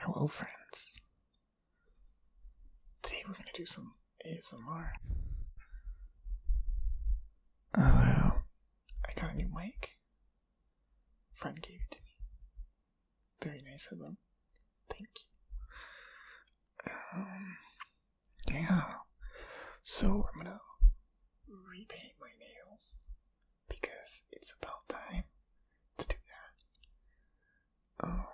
Hello, friends. Today we're gonna do some ASMR. Uh, I got a new mic. Friend gave it to me. Very nice of them. Thank you. Um, yeah. So I'm gonna repaint my nails because it's about time to do that. Um,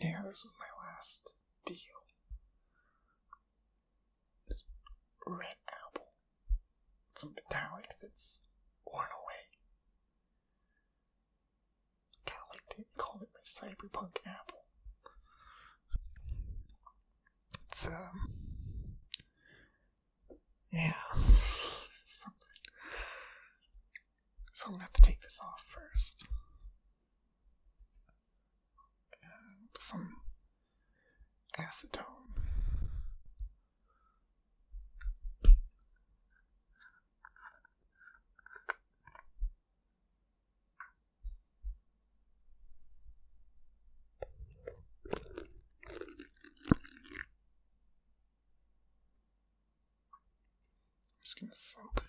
yeah, this was my last deal. This red apple. Some metallic that's worn away. Call of like it my cyberpunk apple. It's um yeah. So I'm gonna have to take this off first. some acetone. I'm just gonna soak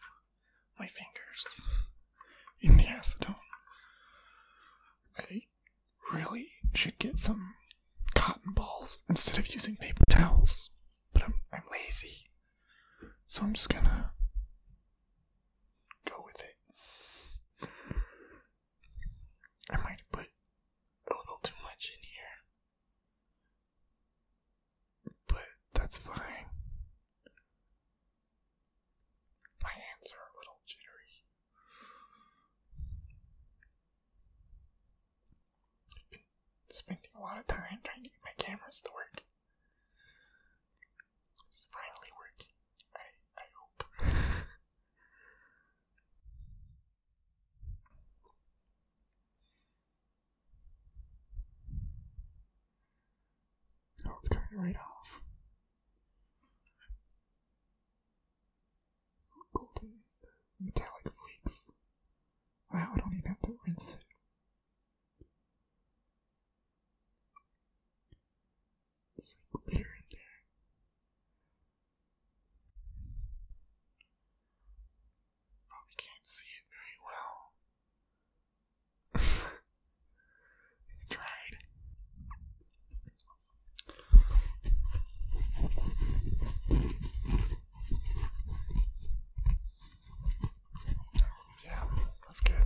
my fingers in the acetone. I really should get some cotton balls instead of using paper towels, but I'm, lazy. So I'm just gonna go with it. I might have put a little too much in here, but that's fine. My hands are a little jittery. spending a lot of time trying to get my cameras to work. It's finally working. I I hope. Oh, it's coming right off. Golden metallic flakes. Wow, I don't even have to rinse it. It's like glitter in there. Probably can't see it very well. tried. Yeah, that's good.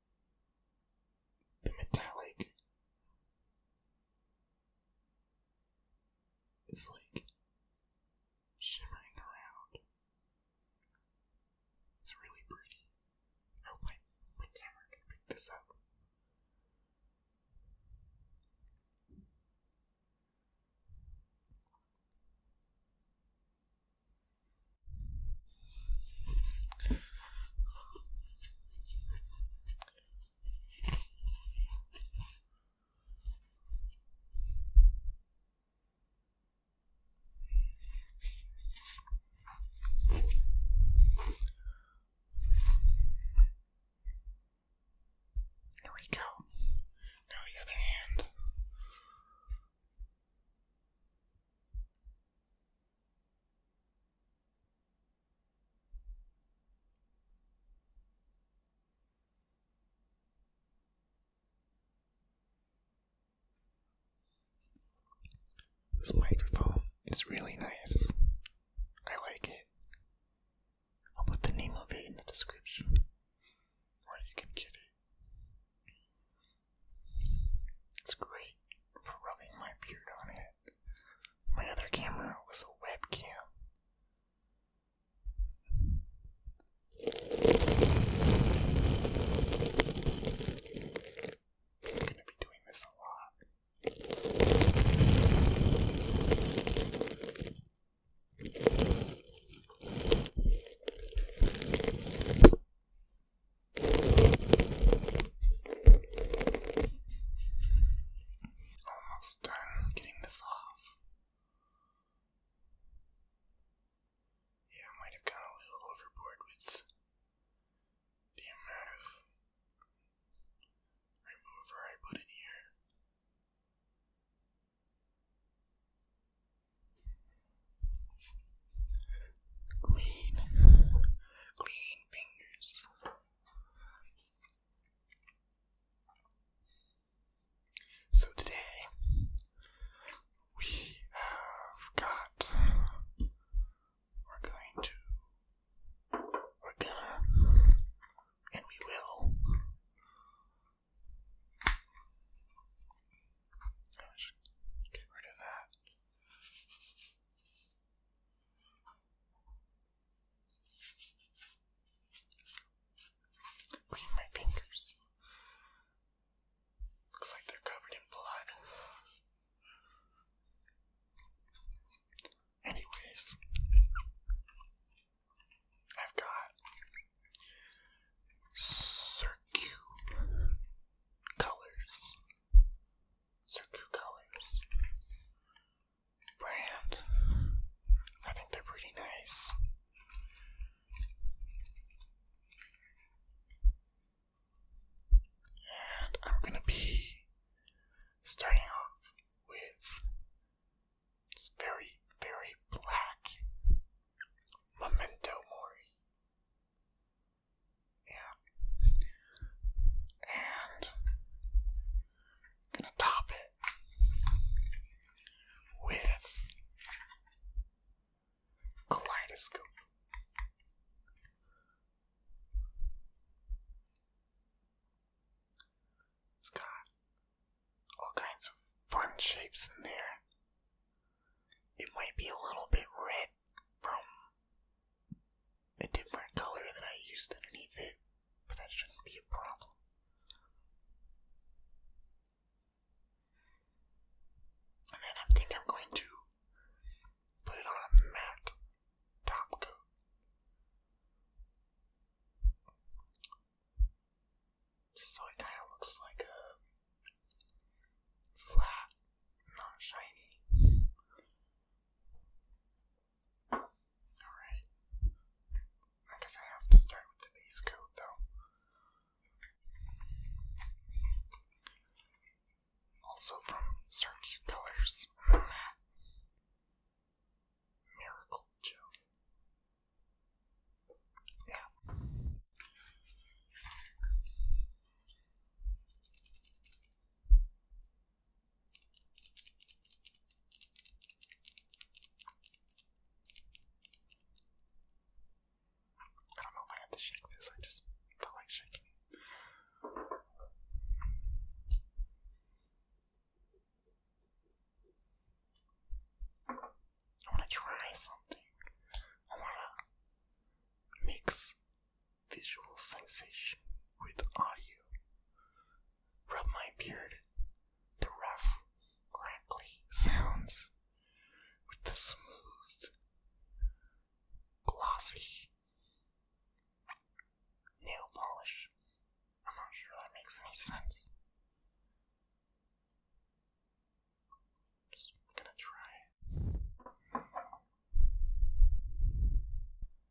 the metallic is like shivering around. It's really pretty. I oh, hope my camera can pick this up. There we go. Now the other hand. This microphone is really nice. I like it. I'll put the name of it in the description, or you can get it. It's great for rubbing my beard on it. My other camera was a webcam. I'm gonna be doing this a lot. Almost done getting this off. Yeah, I might have gone a little overboard with the amount of remover I put in here. Clean. Clean fingers. So today we have got we're going to we're gonna and we will let get rid of that. Clean my fingers. Looks like they're covered in blood. Anyways, I've got circular colors Circu colors brand. I think they're pretty nice. And I'm gonna be starting off with very, very black memento mori. Yeah. And gonna top it with kaleidoscope. It's got all kinds of fun shapes in there. It might be a little bit red from a different color that I used underneath it, but that shouldn't be a problem. And then I think I'm going to put it on a matte top coat. so it kind of looks like a flat, not shiny Alright. I guess I have to start with the base coat though. Also from certain Colors, Miracle Gel. Yeah. I don't know if I had to shake this, I just felt like shaking I want to try something. I want to mix visual sensation with audio. Rub my beard, the rough, crackly sounds with the smooth, glossy nail polish. I'm not sure that makes any sense. Just gonna try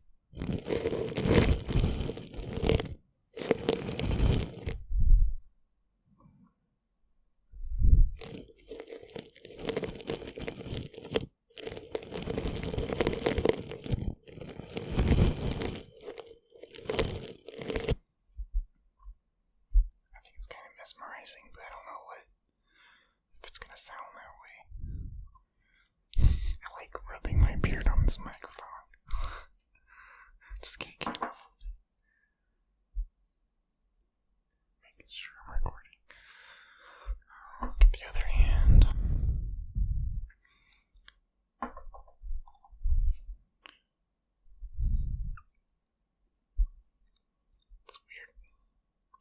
I think it's kind of mesmerizing, but I don't know what if it's gonna sound that way. I like rubbing my beard on this microphone. Just can't get enough. Making sure I'm recording. Oh, get the other hand. It's weird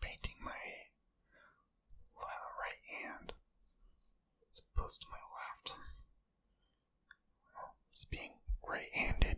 painting my right hand is opposed to my left. It's being right handed.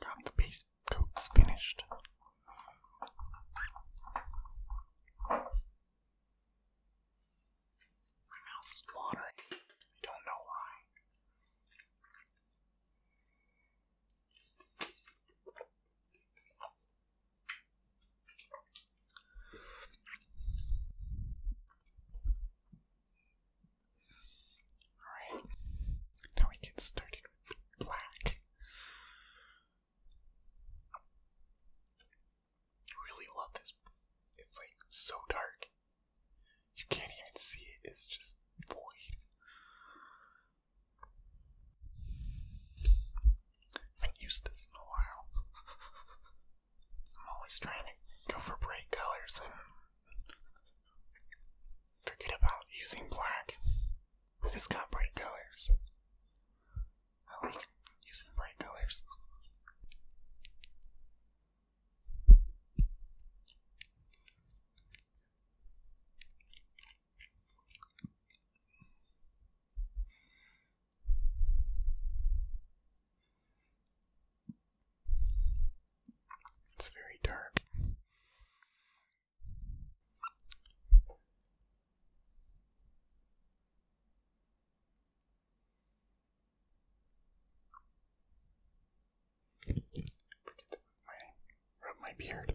Can't the piece coat's finished. My mouth's watering. I don't know why. Alright, now we get started with black. I really love this. It's like so dark. You can't even see it, it's just void. I have this in a while. I'm always trying to go for bright colors and forget about using black. If it's got bright colors, I like using bright colors. It's very dark. rub my beard.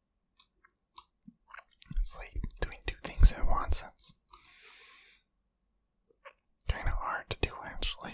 It's like doing two things at once. kind of hard to do, actually.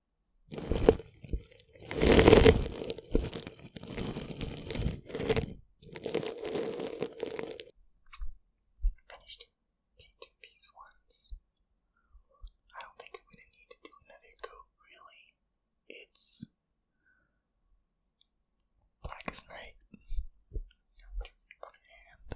Finished. can these ones. I don't think I'm gonna need to do another coat, really. It's black as night. Other hand.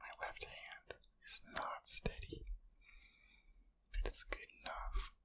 My left hand is not steady, but it's good enough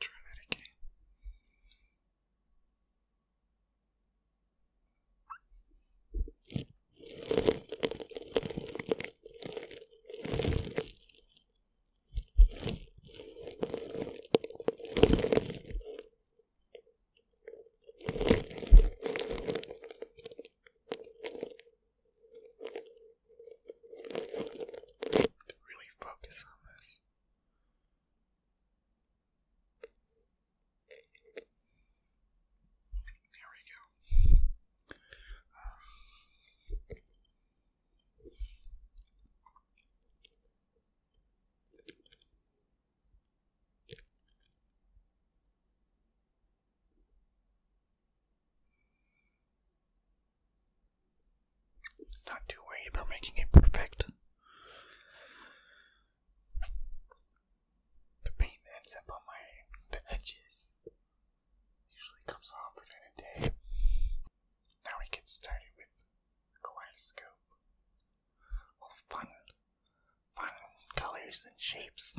Try that again. Really focus on this. There we go. Um, not too worried about making it perfect. The paint ends up on my edges usually comes off within a day. Now we get started with kaleidoscope. All fun, fun colors and shapes.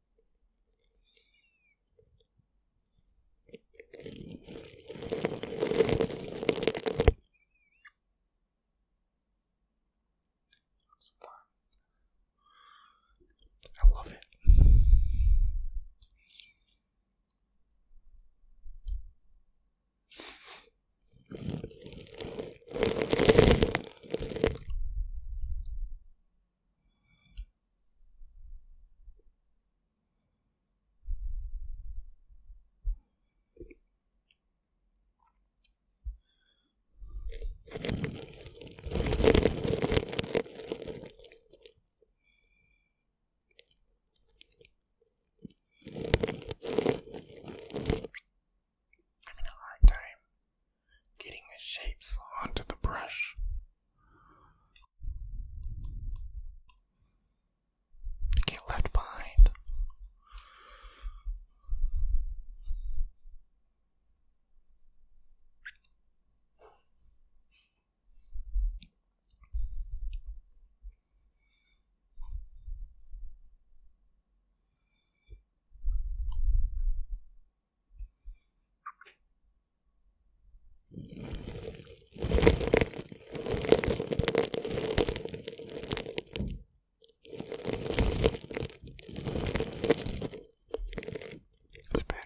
That's fun. I love it. I'm in a hard time getting the shapes onto the brush. They get left behind. It's better.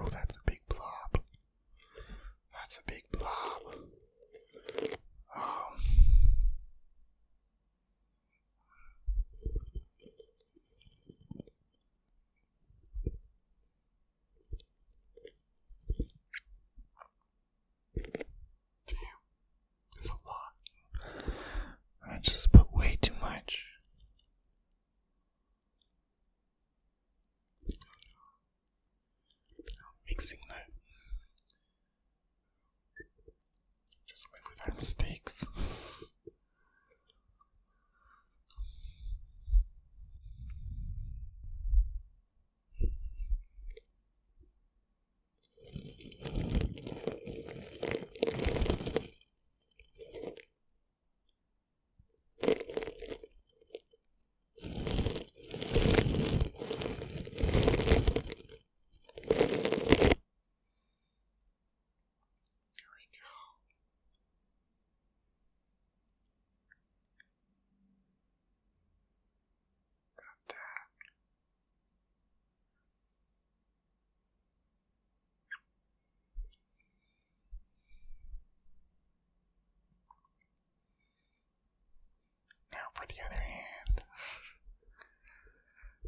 Oh, that's a big blob. That's a big blob. Um Damn, that's a lot. I just put way too much. mixing that just live with mistakes. There we go. Got that. Now for the other hand.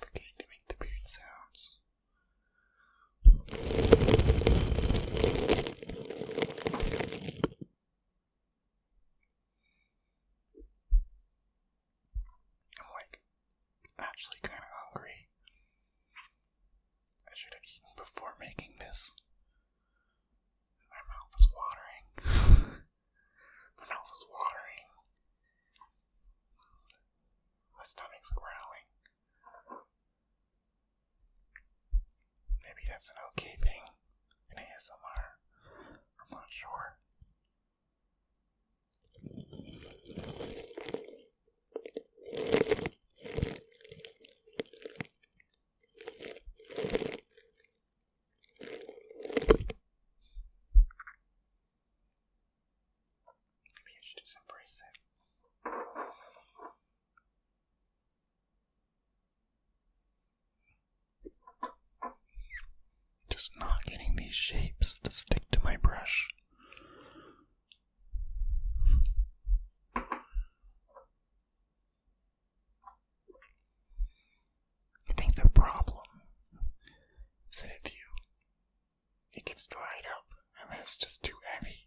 Forgetting to make the weird sounds. I'm like actually kind of hungry. I should have eaten before making this. My mouth is watering. My mouth is watering. My stomach's growling. Maybe that's an okay thing in ASMR. I'm not sure. Maybe I should just embrace it. Just not getting these shapes to stick to my brush. I think the problem is that if you it gets dried up and it's just too heavy.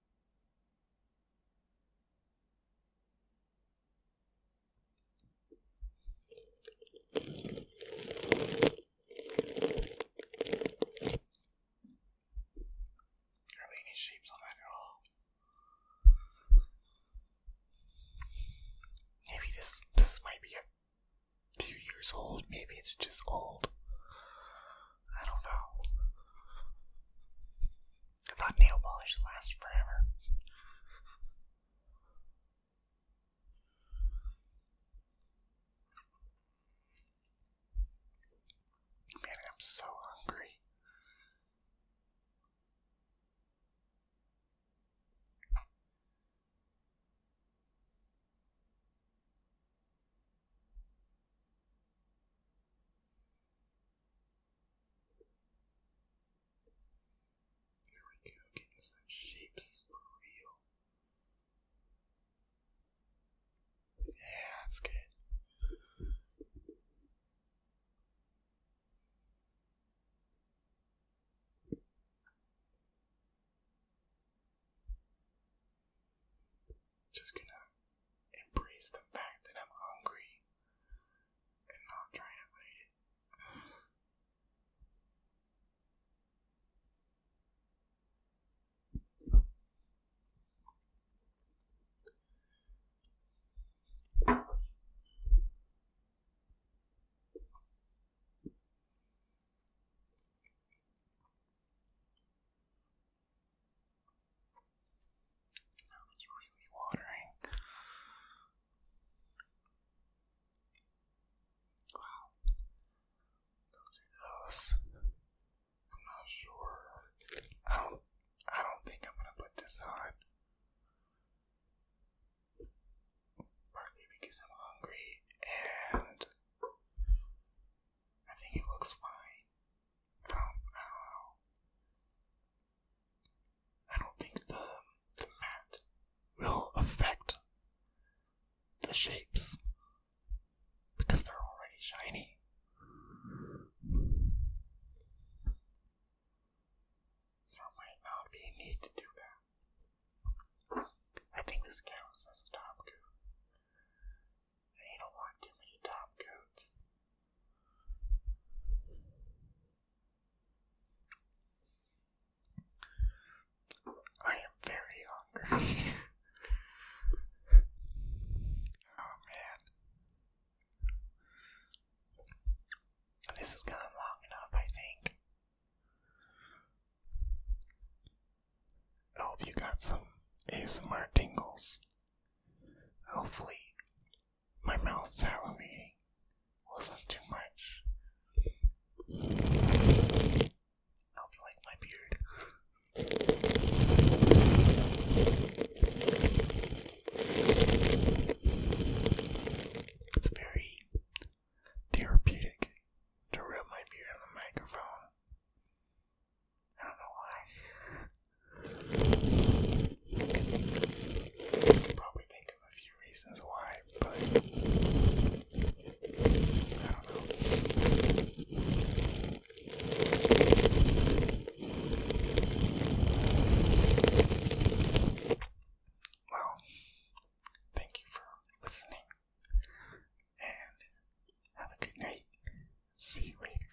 Hardly any shapes on that at all. Maybe this this might be a few years old. Maybe it's just old. I don't know. I thought nail polish lasts forever. Man, I'm so hungry. There we go, getting some shapes for real. Yeah, that's good. Just gonna embrace the fact that I'm hungry and not trying to hide it. That was really watering. Wow. Those I'm not sure. I don't I don't think I'm gonna put this on. Partly because I'm hungry and I think it looks fine I don't think the, mat will affect the shapes because they're already shiny. So might not be need to do that. I think this counts as a top coat. I don't want too many top coats. I am very hungry. oh man. This has gone long enough, I think. I hope you got some ASMR tingles. Hopefully, my mouth salivating wasn't too much. I'll be like my beard. It's very therapeutic to rub my beard on the microphone. I don't know why probably think of a few reasons why, but I don't know. Well, thank you for listening, and have a good night. See you later.